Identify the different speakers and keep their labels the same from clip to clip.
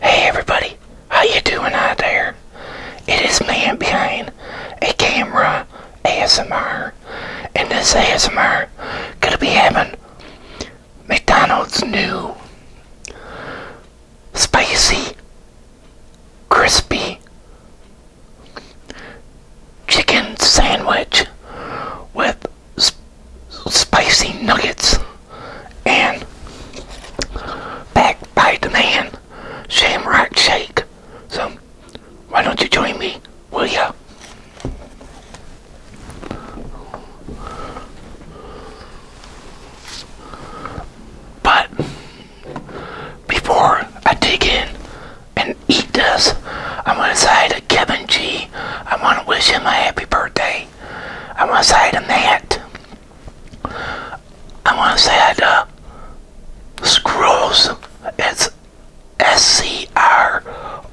Speaker 1: Hey everybody, how you doing out there? It is man behind a camera ASMR, and this ASMR gonna be having McDonald's new spicy crispy chicken sandwich with spicy nuggets and backed by the man Shamrock Shake. So why don't you join me, will ya? But before I dig in and eat this, I'm gonna say to Kevin G, I wanna wish him a happy birthday. I want to say to Matt. I want to say to uh, Scrolls. It's S C R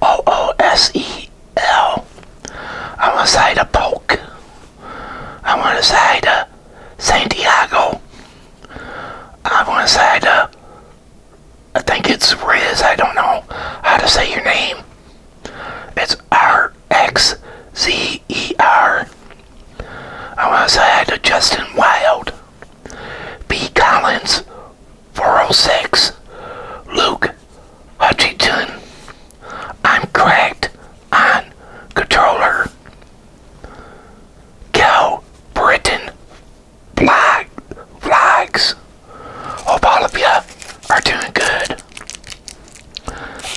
Speaker 1: O O S E L. I want to say to Polk. I want to say to Santiago. I want to say to. I think it's Riz. I don't know how to say your name. It's R X Z E R. I want to say hi to Justin Wild, B. Collins, 406, Luke Hutchington. I'm cracked on controller. Britain! Britton Vlogs. Hope all of you are doing good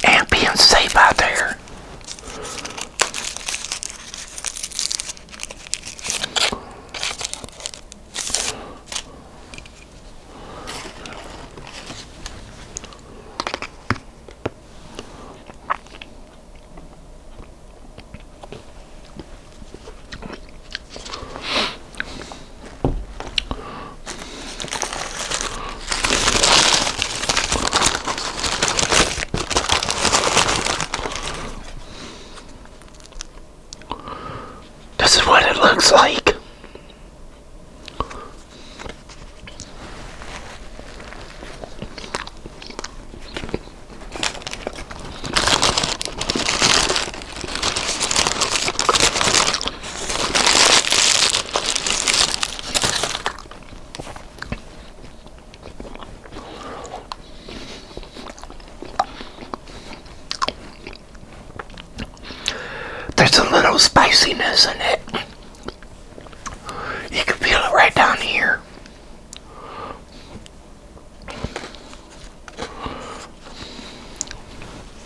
Speaker 1: and being safe out there. This is what it looks like. There's a little spiciness in it. You can feel it right down here.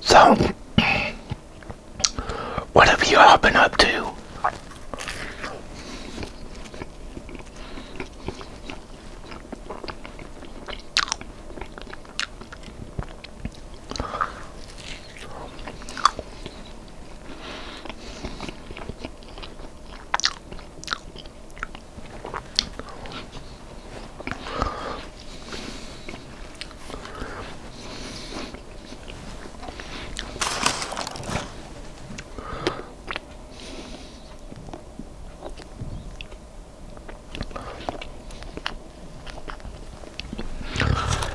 Speaker 1: So, what have you been up to?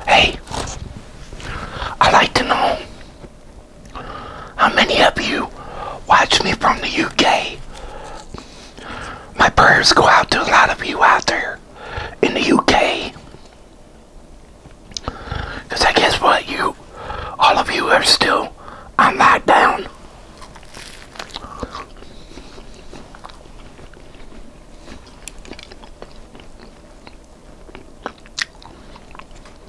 Speaker 1: Hey, I like to know how many of you watch me from the UK? My prayers go out to a lot of you out there in the UK. Because I guess what, you, all of you are still on lockdown.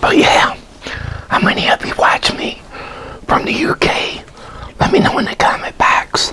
Speaker 1: But oh, yeah, how many of you watch me from the UK? Let me know in the comment box.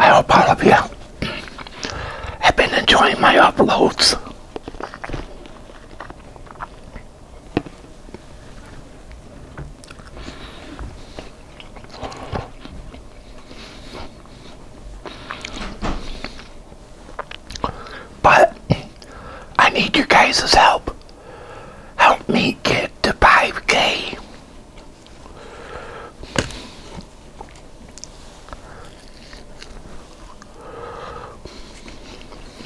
Speaker 1: I hope all of you have been enjoying my uploads. But I need your guys' help. Help me get to 5K.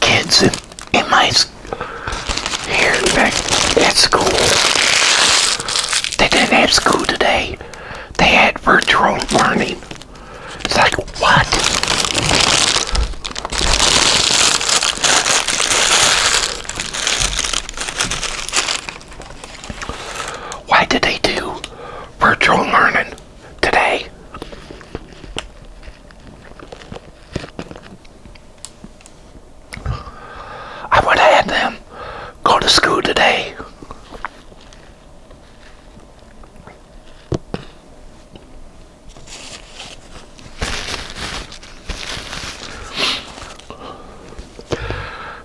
Speaker 1: kids in, my here back at school. They didn't have school today. They had virtual learning. It's like what? Why did they do virtual learning today. I would have had them go to school today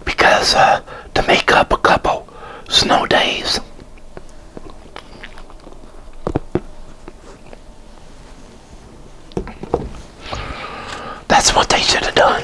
Speaker 1: because uh, to make up a couple snow days. That's what they should have done.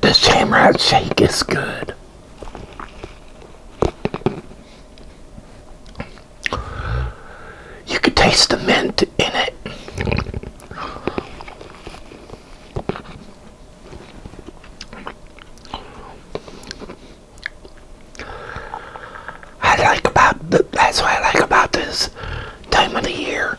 Speaker 1: The Shamrock Shake is good. You can taste the mint in it. I like about the, that's what I like about this time of the year.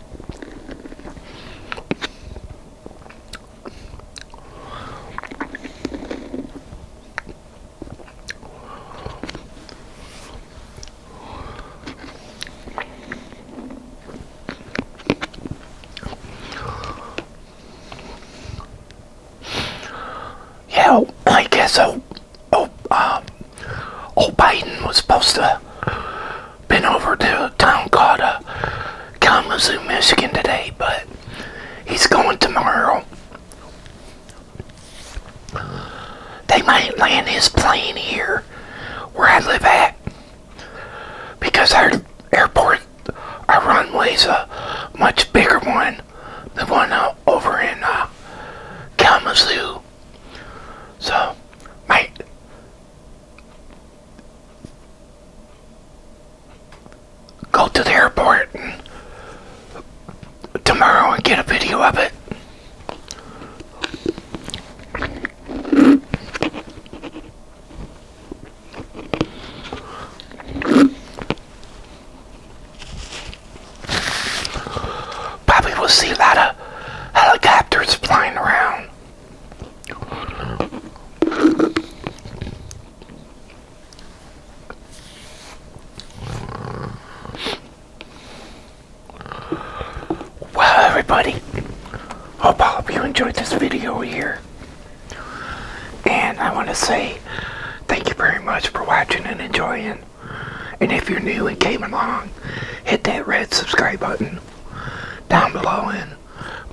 Speaker 1: Yeah, oh, I guess so. Oh, will oh, um, old Biden was supposed to been over to a town called uh, Kalamazoo, Michigan today, but he's going tomorrow. They might land his plane here where I live at because our airport, our runway's a much bigger one than one uh, over in uh, Kalamazoo. So, my go to the airport and tomorrow and get a video of it probably will see a lot of helicopters flying around. Well, everybody, hope all of you enjoyed this video here. And I want to say thank you very much for watching and enjoying. And if you're new and came along, hit that red subscribe button down below and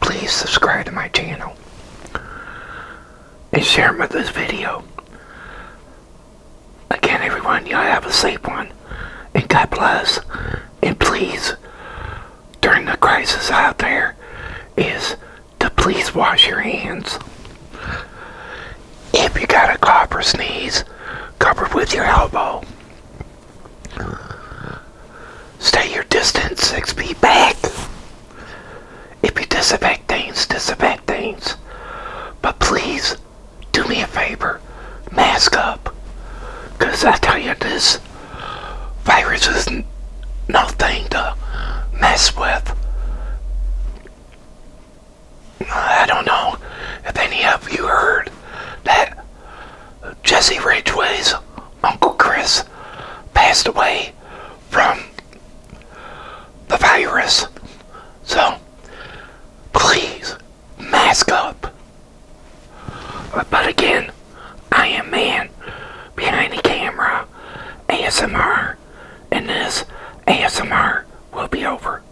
Speaker 1: please subscribe to my channel and share with this video. Again, everyone, y'all have a safe one and God bless. And please, during the crisis out there, is to please wash your hands. If you got a cough or sneeze, cover with your elbow. Stay your distance, six feet back. If you disinfect things, disinfect things. But please, do me a favor, mask up. Because I tell you, this virus is nothing to mess with. I don't know if any of you heard that Jesse Ridgway's Uncle Chris passed away from the virus. So, please, mask up. But again, I am man behind the camera, ASMR, and this ASMR will be over.